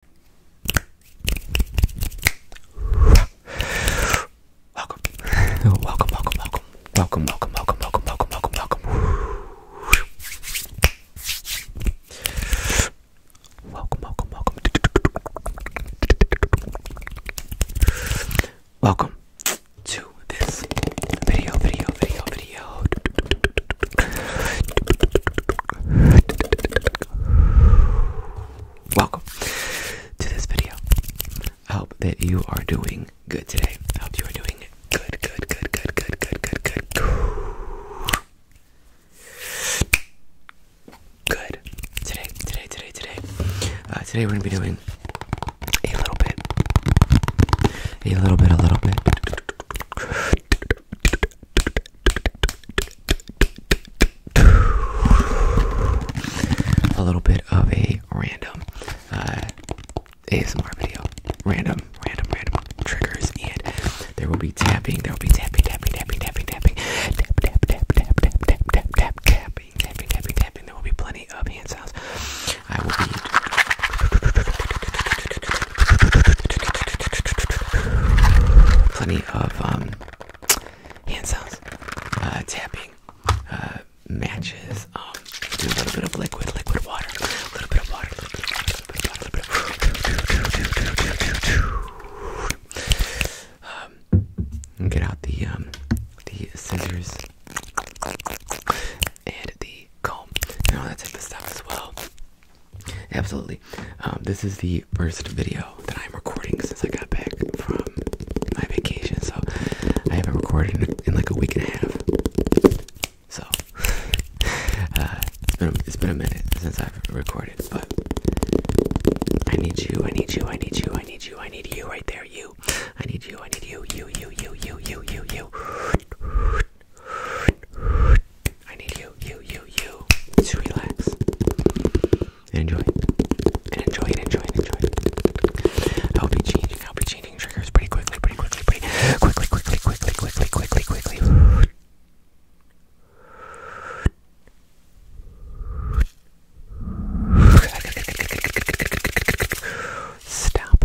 Welcome. welcome, welcome, welcome, welcome, welcome, welcome, welcome, welcome, welcome, welcome. Welcome, welcome, welcome. Welcome to this video, video, video, video. Welcome to this video. I hope that you are doing good today. I hope you are doing good, good, good, good, good, good, good, good. Good. Today, today, today, today. Uh, today we're gonna be doing a little bit, a little bit, a little bit a little bit of a random uh, ASMR video. Random, random, random triggers, and there will be tapping. There will be tapping, tapping, tapping, tapping, tapping, tap, tap, tapping, tapping, tapping, tapping. There will be plenty of hand sounds. I will be. Plenty of hand sounds, uh, tapping, matches, a little bit of liquid, liquid water, a little bit of water, get out the the scissors and the comb and all that type of stuff as well. Absolutely. Um, this is the first video that I'm recording since I got back from my vacation, so I haven't recorded in, like a week and a half. So uh, it's been a minute since I've recorded, but I need you, I need you, I need you, I need you, I need you right there, you. I need you, I need you, you, you, you, you, you, you, you. I need you, you, you, you to relax and enjoy. And enjoy, and enjoy, and enjoy. I'll be changing, I'll be changing triggers pretty quickly, pretty quickly, pretty quickly, quickly, quickly, quickly, quickly, quickly. quickly. Stop.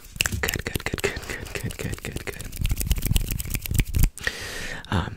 Good, good, good, good, good, good, good, good, good. Um.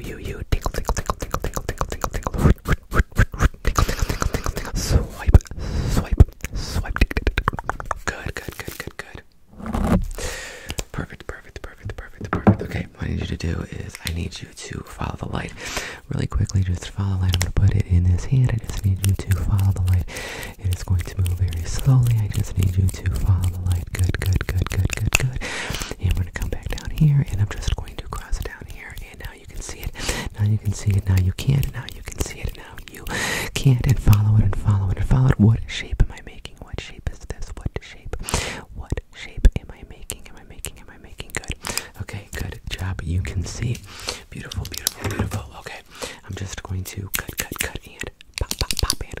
you, you, you, tickle, tickle, tickle, tickle, tickle, tickle, tickle, tickle, tickle, tickle, tickle, tickle, swipe, swipe, swipe, good, good, good, good, good. Perfect, perfect, perfect, perfect, perfect. Okay, what I need you to do is I need you to follow the light. Really quickly, just follow the light. I'm gonna put it in this hand. I just need you to follow the light. It is going to move very slowly. I just need you to follow the light. Good, good, good, good, good, good. And we're gonna come back down here, and I'm just going to cross it down here. And now you can see it. Now you can see it. Now you can't. Now you can see it. Now you can't. And follow it. And follow it. And follow it. What shape am I making? What shape is this? What shape? What shape am I making? Am I making? Am I making? Good. Okay. Good job. You can see. Beautiful. Beautiful. Beautiful. Okay. I'm just going to cut, cut, cut, and pop, pop, pop, and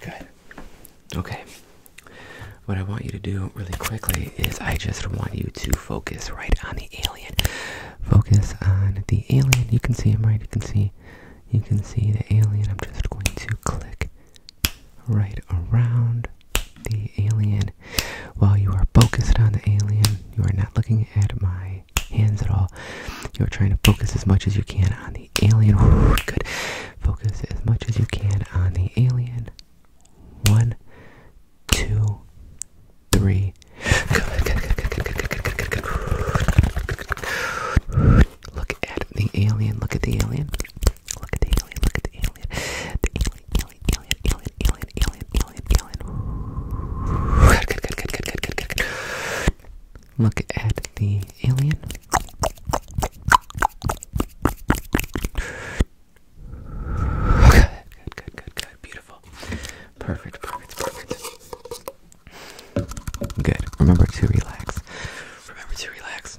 Good. Okay. What I want you to do really quickly is I just want you to focus right on the alien. Focus on the alien. You can see him, right? You can see you can see the alien. I'm just going to click right around the alien. While you are focused on the alien, you are not looking at my hands at all. You're trying to focus as much as you can on the alien. good. Focus as much as you can on the alien. One, two, three. Look at the alien. Look at the alien. Look at the alien. Look at the alien. The alien, Look at the alien. Good, good, good, good, good. Beautiful. Perfect, perfect, perfect. Good. Remember to relax. Remember to relax.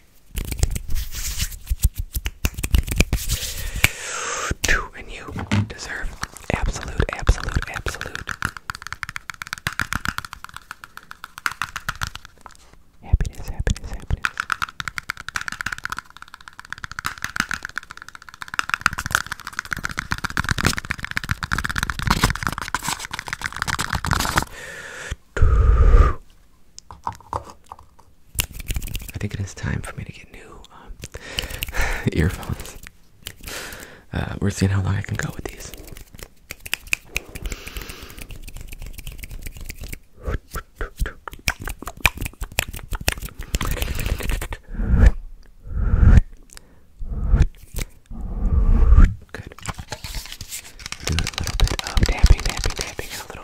and you deserve absolute, absolute, absolute happiness, happiness, happiness. I think it is time for me to get new um, earphones. Uh, we're seeing how long I can go with these. Do a little bit of tapping, tapping, tapping, a little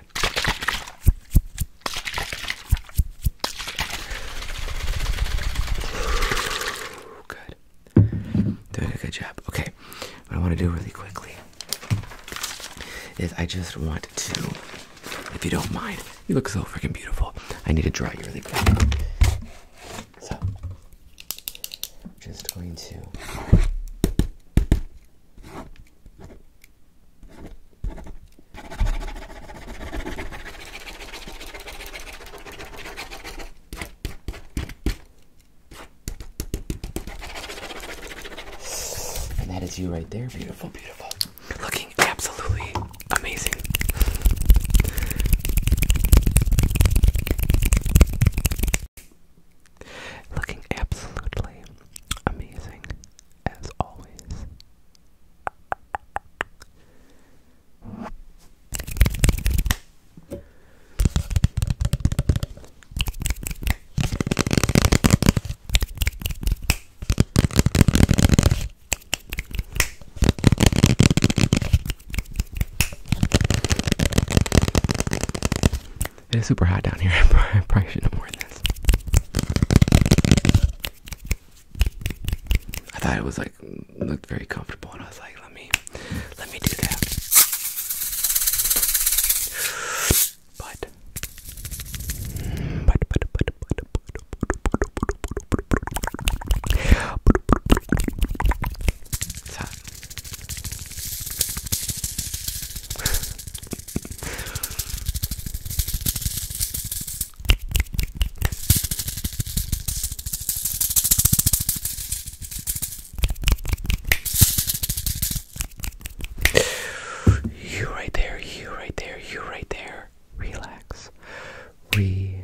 Okay. Good. Doing a good job. Okay. What I want to do really quickly is I just want to, if you don't mind, you look so freaking beautiful. I need to draw you really quick. So, just going to and that is you right there. Beautiful, beautiful. Looking absolutely amazing. Looking absolutely amazing, as always. It is super hot down here. I probably should know more than this. I thought it was like looked very comfortable, and I was like, let me, let me do that. But, but, but, but, but, but, but, but, but, but, but, but, you right there, you right there, you right there. Relax. Re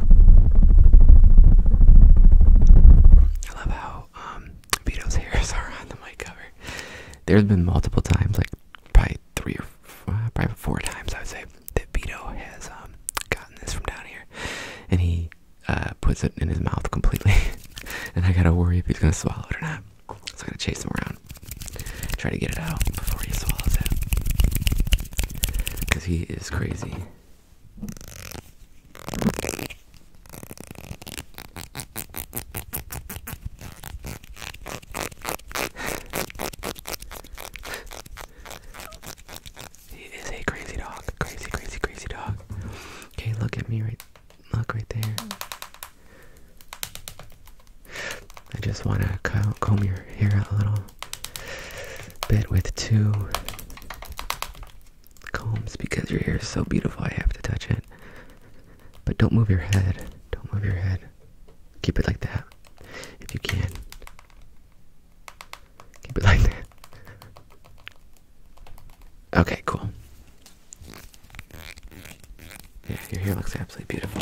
I love how um, Vito's hairs are on the mic cover. There's been multiple times, like probably three or four, uh, probably four times, I would say, that Vito has um, gotten this from down here, and he uh, puts it in his mouth completely. and I gotta worry if he's gonna swallow it or not. So I gotta chase him around, try to get it out before he swallows it, because he is crazy he is a crazy dog. Crazy, crazy, crazy dog. Okay, look at me right look right there. I just want to comb your hair out a little bed with two combs because your hair is so beautiful. I have to touch it. But don't move your head. Don't move your head. Keep it like that if you can. Keep it like that. Okay, cool. Yeah, your hair looks absolutely beautiful.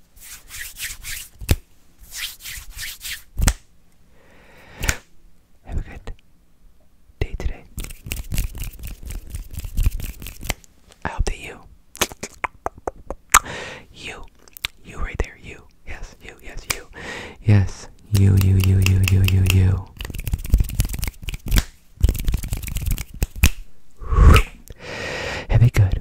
have a good day today. I hope that you, you, you right there, you, yes, you, yes, you, yes, you, you, you, you, you, you, you. Have a good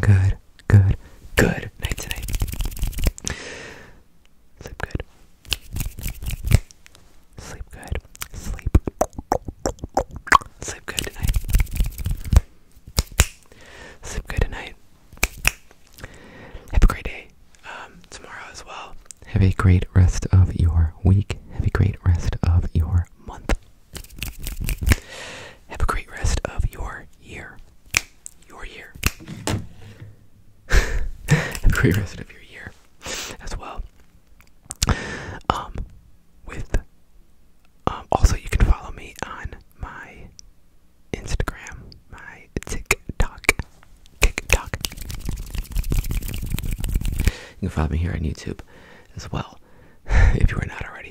good, good, good night tonight. Sleep good. Sleep good. Sleep. good tonight. Sleep good tonight. Have a great day. Um, tomorrow as well. Have a great rest of your week. Have a great rest of your month. Have a great rest of your year you are here. Have great rest of your year as well. Um, with um, also you can follow me on my Instagram, my TikTok, TikTok. You can follow me here on YouTube as well if you are not already.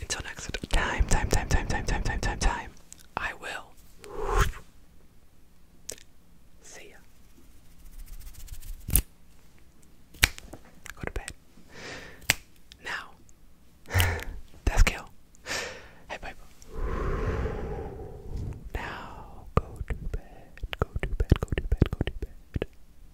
Until next time, time, time, time, time, time, time, time, time. I will. See ya. Go to bed. Now. That's kill. Hey, pipe. Now go to bed. Go to bed. Go to bed. Go to bed.